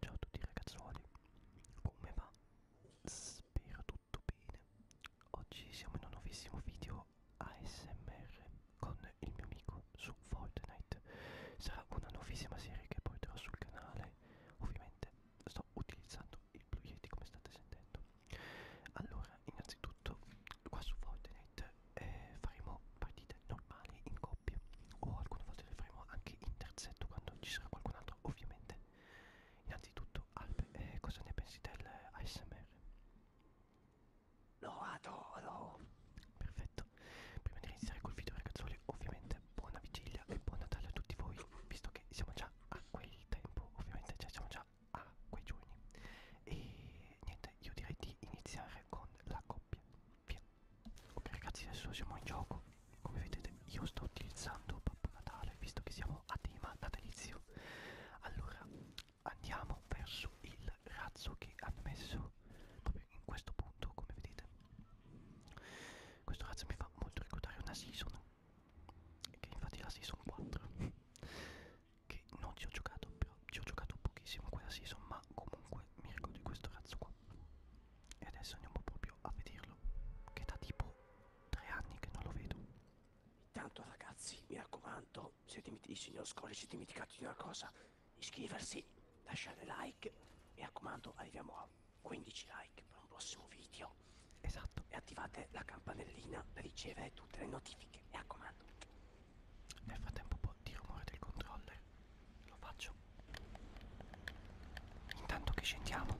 Ciao a tutti ragazzuoli, come va? Spero tutto bene. Oggi siamo in un nuovissimo video ASMR con il mio amico su Fortnite. Sarà una nuovissima serie che porterò sul canale. Ovviamente sto utilizzando il Blue Yeti come state sentendo. Allora, innanzitutto qua su Fortnite eh, faremo partite normali in coppia o alcune volte le faremo anche in terzetto quando ci sarà qualcun altro, ovviamente. Innanzitutto, Albe, eh, cosa ne pensi del ASMR? Lo adoro! Perfetto, prima di iniziare col video ragazzuoli, ovviamente buona vigilia e buon Natale a tutti voi, visto che siamo già a quel tempo, ovviamente cioè siamo già a quei giorni e niente io direi di iniziare con la coppia via ok ragazzi adesso siamo in gioco come vedete io sto utilizzando Babbo Natale visto che siamo a tema natalizio allora andiamo verso il razzo che hanno messo proprio in questo punto come vedete questo razzo mi fa molto ricordare una season che infatti è la season 4 che non ci ho giocato però ci ho giocato pochissimo quella season ma comunque mi ricordo di questo razzo qua e adesso andiamo proprio a vederlo che da tipo tre anni che non lo vedo intanto ragazzi mi raccomando se dimit- signor Scolle si è dimenticato di una cosa iscriversi lasciare like mi raccomando arriviamo a 15 like per un prossimo video esatto e attivate la campanellina per ricevere tutte le notifiche like, mi raccomando. Nel frattempo un po' di rumore del controller lo faccio. Intanto che scendiamo.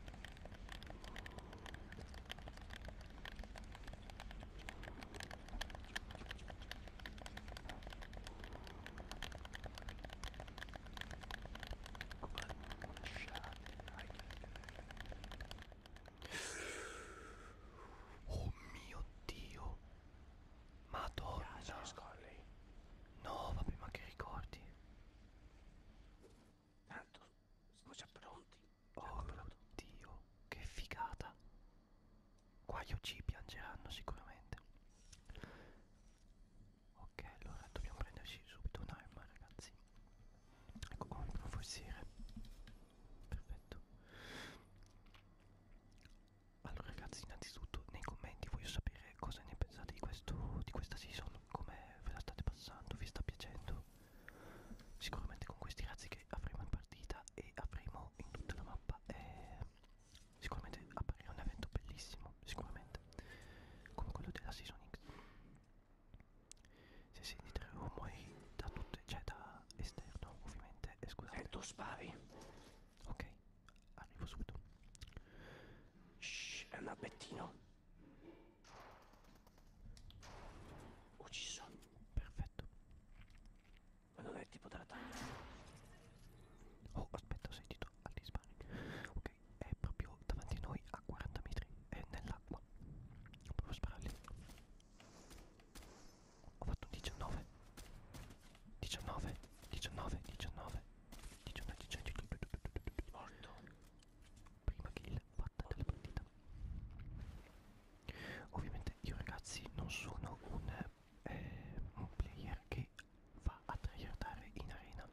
Oh mio dio. Madonna. No, vabbè, ma che ricordi? Tanto siamo già pronti. Già oh mio dio, che figata. Qua gli OC piangeranno sicuramente. Ok, allora dobbiamo prenderci subito un'arma, ragazzi ecco qua un forziere perfetto allora ragazzi innanzitutto nei commenti voglio sapere cosa ne pensate di, questo, di questa season come ve la state passando vi sta piacendo sicuramente con questi razzi che avremo in partita e avremo in tutta la mappa eh, sicuramente apparirà un evento bellissimo sicuramente come quello della season x sì, sì, di tre rumori da tutte, cioè da esterno ovviamente, eh, scusate. E tu spari. Ok, arrivo subito. Shh, è un abbettino. Ucciso. Perfetto. Ma non è il tipo della taglia. Oh, aspetta, ho sentito altri spari. Ok, è proprio davanti a noi a 40 metri, è nell'acqua. Provo a sparare lì. Ho fatto un 19 19 19 19 19 19 Morto Prima kill fatta della partita Ovviamente io ragazzi non sono un, eh, un player che va a tryhardare in arena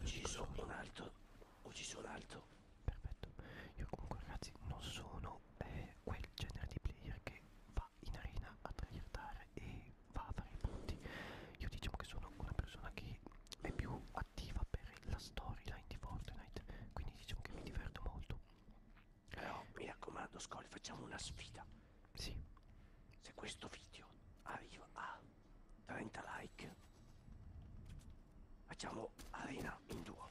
Ucciso un altro Ucciso un altro perfetto io comunque ragazzi non sono eh, quel genere di player che va in arena a tagliare e va a fare i punti io diciamo che sono una persona che è più attiva per la storyline di Fortnite quindi diciamo che mi diverto molto però mi raccomando Scoli facciamo una sfida sì se questo video arriva a 30 like Facciamo arena in duo.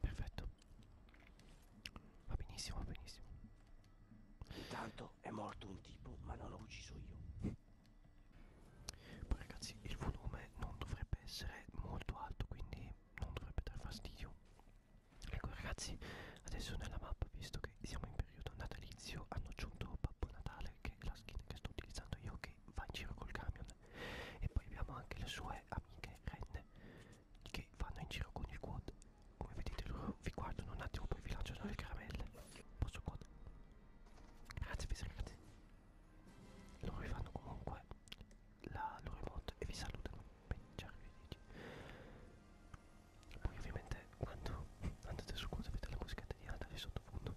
Perfetto. Va benissimo, va benissimo. Intanto è morto un tipo, ma non l'ho ucciso io. Poi ragazzi, il volume non dovrebbe essere molto alto, quindi non dovrebbe dare fastidio. Ecco ragazzi, adesso nella mappa, visto che siamo in periodo natalizio, hanno aggiunto Babbo Natale, che è la skin che sto utilizzando io, che va in giro col camion e poi abbiamo anche le sue amiche renne che vanno in giro con il quad come vedete loro vi guardano un attimo poi vi lanciano le caramelle posso quad grazie ragazzi loro vi fanno comunque la loro emote e vi salutano per dici poi ovviamente quando andate su quad avete la musica italiana di sottofondo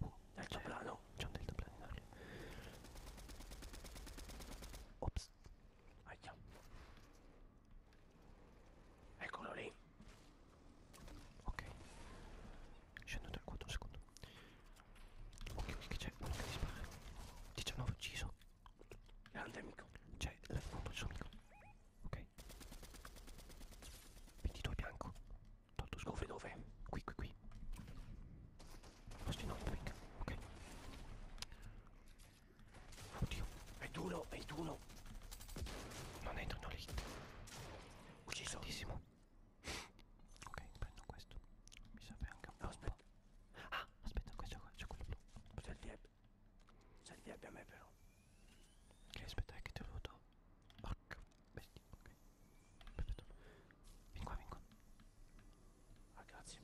Uh, deltaplano, c'è un deltaplano in aria. Ops. Aia. Eccolo lì. Ok. Scendo dal 4 un secondo. Occhio che c'è uno che ti spara. 19 ucciso. Grande amico. C'è l'altro suo amico. Ok. 22 bianco. Tu scopri dove? Qui, qui, qui. Posti no, pick. Ok. Oddio, è duro, è duro. Non entrano lì. Ucciso. Tantissimo. Ok, prendo questo. Mi serve anche un po'. No, aspetta. Ah, aspetta, qua c'è quello blu. C'è il dieb. C'è il dieb a me però. Ok, aspetta, che te lo do. Porca bestia. Ok perfetto vieni qua vieni qua ah grazie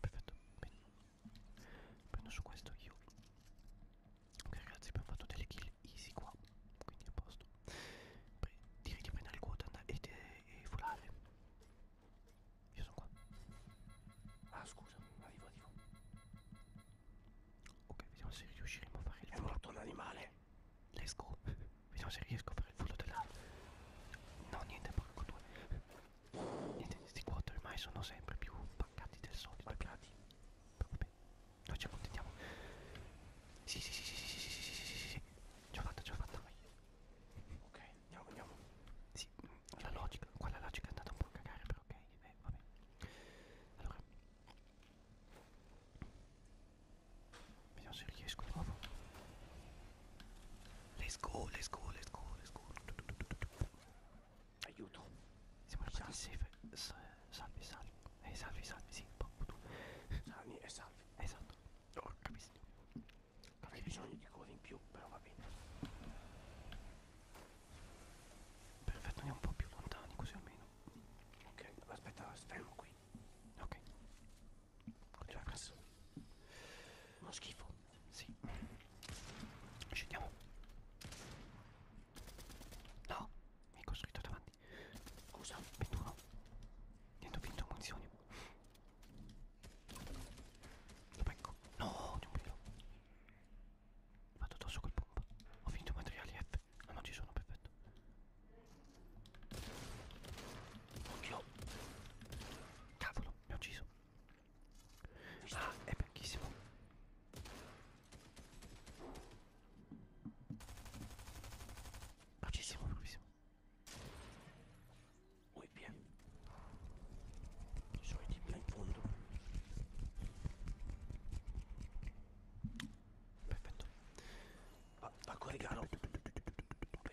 perfetto bene prendo su questo io ok ragazzi abbiamo fatto delle kill easy qua quindi a posto Pre direi di prendere il quota e, e, e volare io sono qua ah scusa arrivo arrivo ok vediamo se riusciremo a fare il è morto l'animale let's go vediamo se riesco a fare il furto della no niente porco due niente questi quattro ormai sono sempre più paccati del solito paccati vabbè noi ci accontentiamo sì sì sì sì sì sì sì sì sì sì sì sì ce l'ho fatta ce l'ho fatta vai ok andiamo andiamo sì la logica qua la logica è andata un po' a cagare però ok eh vabbè allora Vediamo se riesco di nuovo. Let's go, let's go, let's go, let's go. Aiuto. Siamo arrivati safe. Salvi, salvi. Eh, salvi, salvi, sì. Salvi e salvi. Esatto. Ho capito. Avrei bisogno di cose in più, però va bene. Perfetto, andiamo un po' più lontani, così almeno. Ok, aspetta, fermo qui poi. Ok. Continua questo. Uno schifo. Sì. Scendiamo. No, mi è costruito davanti. Scusa, 21. Niente, ho vinto munizioni. Lo becco. No, di un pelo. Vado addosso col pompa. Ho finito materiali F niente. Ah no, ci sono, perfetto. Occhio. Cavolo, mi ha ucciso. Ah, è vecchissimo. Bravissimo, bravissimo. Ui, via. I soliti là in fondo. Perfetto. Va, va con regalo. Ok.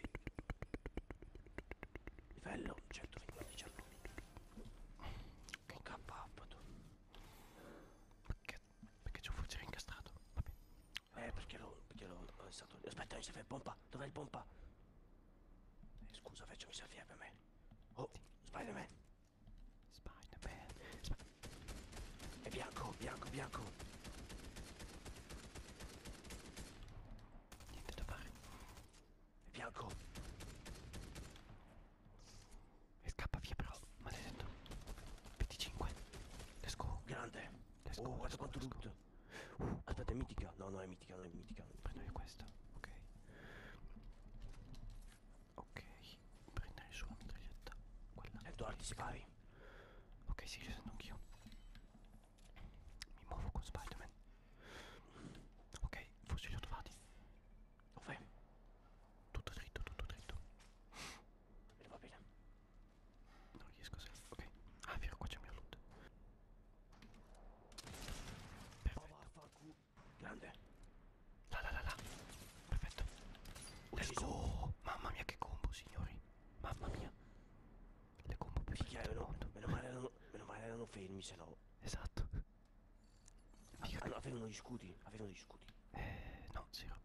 Livello 125 certo. Che okay. up tu. Perché, perché c'è un fucile incastrato? Vabbè. Eh, perché lo, perché lo è stato... Aspetta, mi serve il pompa. Dov'è il pompa? Eh, scusa, faccio mi servire per me. Oh, sì. Spider-Man. Spider-Man. Sp è bianco, bianco, bianco. Niente da fare. È bianco. E scappa via però, maledetto. 25. Let's go. Grande. Let's go. Oh, guarda quanto tutto. Uh, Aspetta, è mitica. No, no, è mitica, non è mitica. Prendo io questo. Ok. Ok, prendere su la mitraglietta. Quella. Edward, spari. Ok, sì, ci sento anch'io. Mi muovo con Spider-Man. Ok, forse li ho trovati. Dov'è? Tutto dritto, tutto dritto. Bene, va bene. Non riesco a se... Ok. Ah, vero, qua c'è il mio loot. Perfetto. Grande. Là, là, là, là. Perfetto. Let's go. Mamma mia che combo, signori. Mamma mia. Le combo più Figlia, meno, meno, male erano, meno male erano fermi, se no. Esatto. Ah, che... Ah, avevano gli scudi, avevano gli scudi. Eh, no, zero.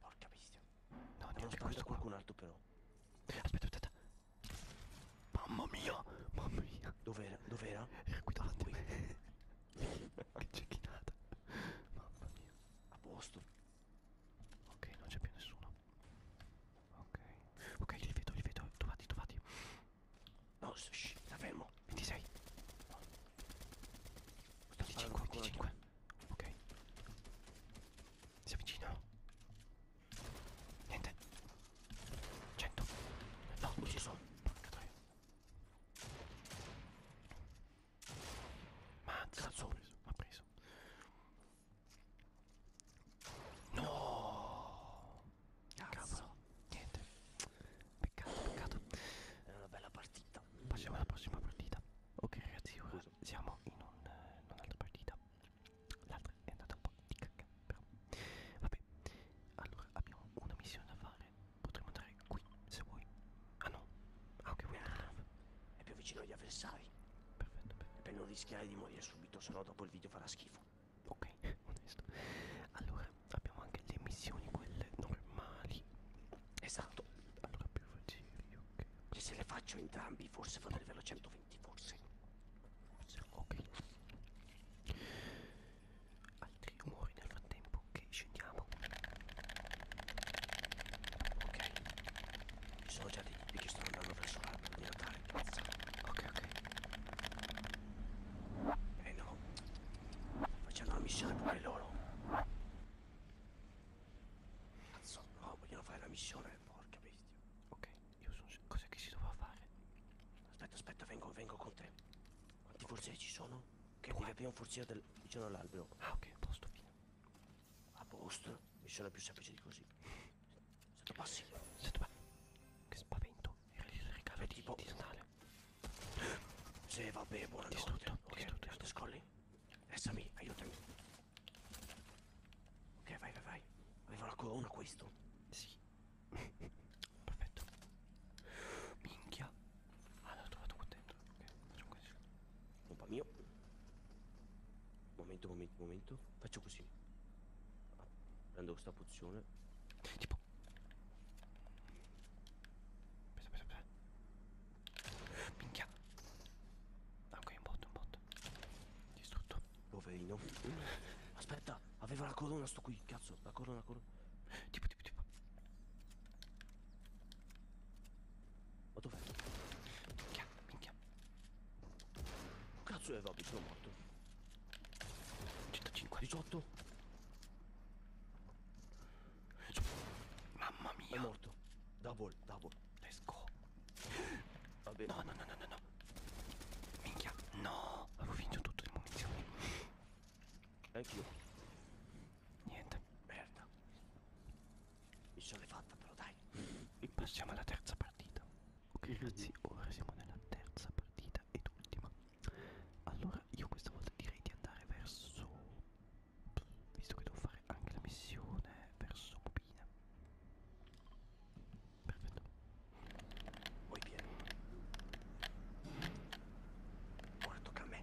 Porca bestia. No, neanche questo qualcun qua. altro però. Aspetta, aspetta. Mamma mia, mamma mia. Dov'era? Dov'era? Era qui davanti. Qui. che cecchinata. Mamma mia. A posto. Ok, non c'è più nessuno. Ok. Ok, li vedo, li vedo. Trovati, trovati. No, shh, la fermo. 26. No. 25, 25. Ok. Si avvicinano. Niente. 100. No, non ci sono. Porca troia. Mazza, l'ha preso, l'ha preso. No! Cavolo, niente. Peccato, peccato. È una bella partita. Passiamo alla prossima partita. Ok ragazzi, ora Scusa. siamo in eh, un'altra un partita. L'altra è andata un po' di cacca, però. Vabbè, allora abbiamo una missione da fare Potremmo andare qui, se vuoi. Ah no. Ah ok, vuoi ah, È più vicino agli avversari. Perfetto, perfetto. Per non rischiare di morire subito, sennò dopo il video farà schifo. Ok, onesto. Allora, abbiamo anche le missioni, quelle normali. Esatto. Allora più facili, ok. Cioè, se le faccio entrambi, forse fanno livello 120, forse. Ok altri rumori nel frattempo che scendiamo ok ci sono già dei tipi che stanno andando verso l'albero di Natale mazza ok ok e eh no facciamo una missione pure loro cazzo no vogliono fare la missione porca bestia ok io sono cosa che si doveva fare aspetta aspetta vengo vengo con te quanti forse ci sono che Due. devi aprire un forziere del... vicino all'albero. Ah, ok, a posto, fine. A posto? Missione più semplice di così. Sento passi. Sento passi. Che spavento. Era il regalo è cioè, di, tipo... di Natale. Sì, vabbè, buona distrutto, notte. Ok, distrutto, distrutto. scolli. Essami, aiutami. Ok, vai, vai, vai. Aveva una, una questo. Sì. Perfetto. Minchia. Ah, l'ho trovato qua dentro. Ok, facciamo così. Pompa mio. Momento, momento, momento. Faccio così. Ah, prendo questa pozione. Tipo. Aspetta, aspetta, aspetta. Minchia. Ah, ok, un bot, un bot. Distrutto. Poverino. Aspetta, aveva la corona sto qui, cazzo. La corona, la corona. Tipo. Ma dov'è? Minchia, minchia. Cazzo è vabbè, sono morto. 105, 18. Mamma mia. È morto. Double, double. Let's go. Vabbè. No, no, no, no, no. Minchia. No. Avevo finito tutto le munizioni. Anch'io. Niente. Merda. Mi sono fatta però dai. Passiamo alla terza partita. Ok mhm. ragazzi, ora siamo nella terza partita ed ultima. Allora io questa volta direi di andare verso... Visto che devo fare anche la missione verso Bobina. Perfetto. Vuoi pieno. Ora tocca a me.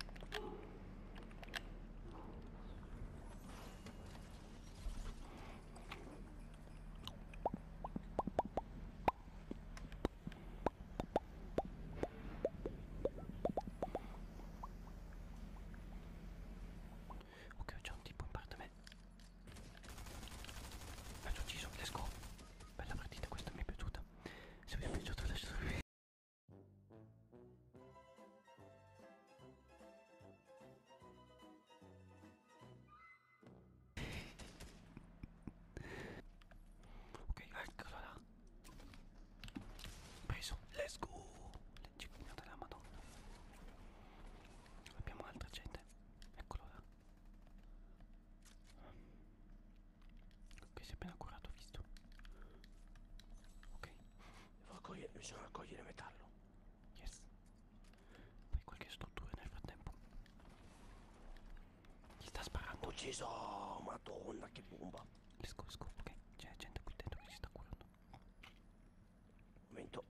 Ok, c'è un tipo in parte a me. L'ho ucciso, let's go. Bella partita, questa mi è piaciuta se vi è piaciuto lasciate un video ok eccola là peso let's go leggi pugnata della madonna abbiamo altra gente eccolo là Ok, si è appena curato, ho visto. Ok. Devo raccogliere, bisogna raccogliere metallo. Yes. Poi qualche struttura nel frattempo. Chi sta sparando? Ho ucciso! Madonna, che bomba! Esco, esco, ok. C'è gente qui dentro che si sta curando. Momento. Ok.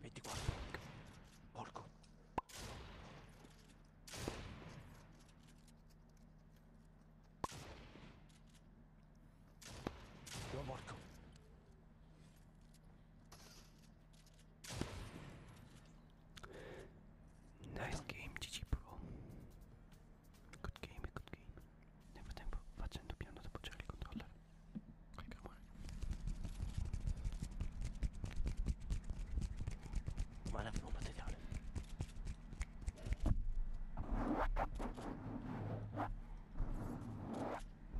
24 porco lo nice game GG bro good game good game Nel frattempo facendo piano ad appoggiare il controller con il rumore. Ma l'avevo un materiale.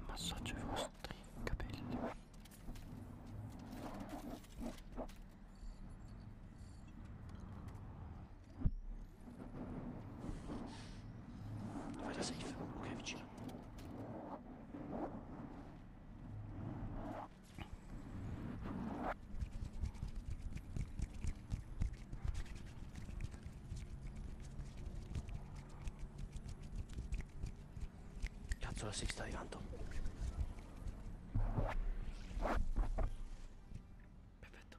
Massaggio ai vostri capelli. Vai da safe, ok vicino. Cazzo la safe sta arrivando. Perfetto.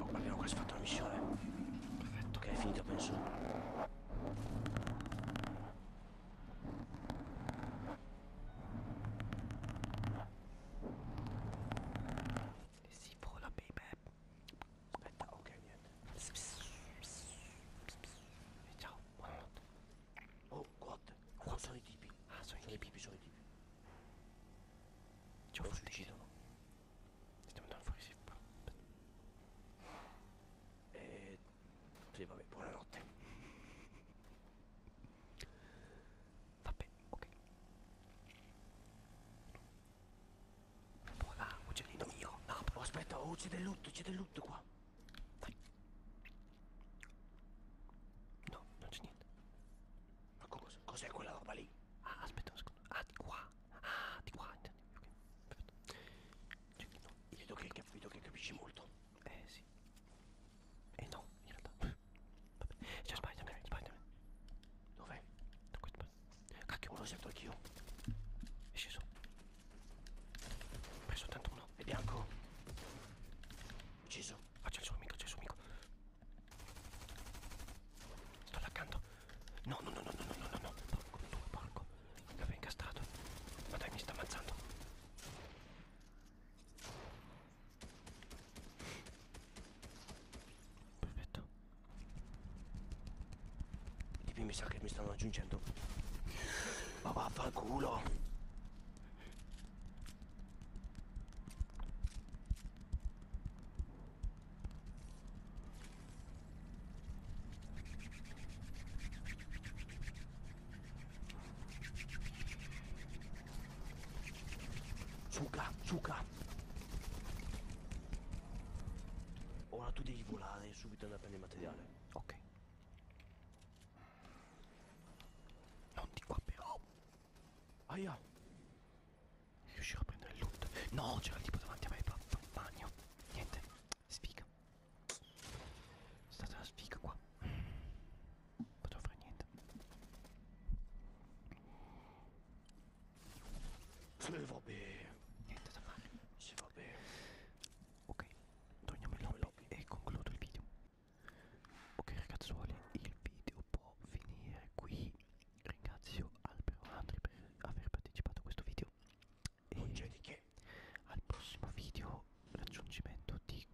Oh, abbiamo quasi fatto la missione. Perfetto, che è finita penso. Eh si vola baby. Aspetta, ok, niente. E eh, ciao, buonanotte. Oh, god. Oh, sono i tipi. Ah, sono, sono i tipi, sono i tipi. Ci ho fatto suicidono. Stiamo andando fuori, sì, però. E... Sì, vabbè, buonanotte. Vabbè, ok. Voilà, uccellino mio. No, però aspetta, oh, c'è del loot, c'è del loot qua. Dai. No, non c'è niente. Ma cos'è cos quella roba lì? Ah, aspetta un secondo. Ah, di qua. Ah, di qua intendi. Ok, perfetto. Cioè, no, vedo che, che, vedo che capisci molto. Eh sì. Eh no, in realtà. Vabbè. C'è cioè, Spider-Man, okay. Spider-Man. Dov'è? Da questo parte. Cacchio, me lo sento anch'io. È sceso. Ho preso tanto uno. È bianco. Ucciso. Ah, c'è il suo amico, c'è il suo amico. Sto laccando. No, no, no, no, no, no, no, no. Porco, tu, porco. L'avevo incastrato. Ma dai, mi sta ammazzando. Perfetto. Di qui mi sa che mi stanno aggiungendo. Ma vaffanculo. Zucca, zucca Ora tu devi volare subito da prendere materiale Ok Non di qua però Aia Riuscirò a prendere il loot. No, c'era il tipo davanti a me, bagno. Niente, sfiga. È stata una sfiga qua. Non potevo fare niente. E vabbè. Niente da fare. Sì, vabbè. Ok, torniamo in lobby e concludo il video. Ok ragazzuoli, il video video può finire qui ringrazio Albero Andri per aver partecipato a questo video e di che al prossimo video raggiungimento di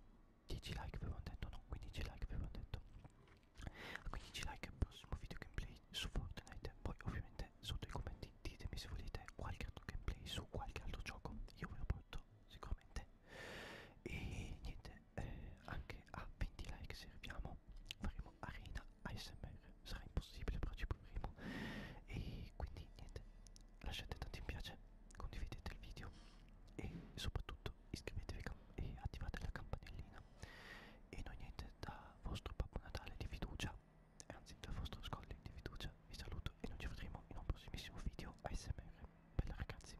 10 like avevo detto no 15 like avevo detto a 15 like al prossimo video gameplay su Fortnite poi ovviamente sotto i commenti ditemi se volete qualche altro gameplay su qualche altro gioco io ve lo porto sicuramente e niente se eh, anche a 20 like serviamo faremo arena ASMR sarà impossibile però ci proveremo e quindi niente lasciate tanti mi piace condividete il video e soprattutto iscrivetevi e attivate la campanellina e noi niente da vostro Babbo Natale di fiducia anzi dal vostro Scolli di fiducia vi saluto e noi ci vedremo in un prossimissimo video ASMR bella ragazzi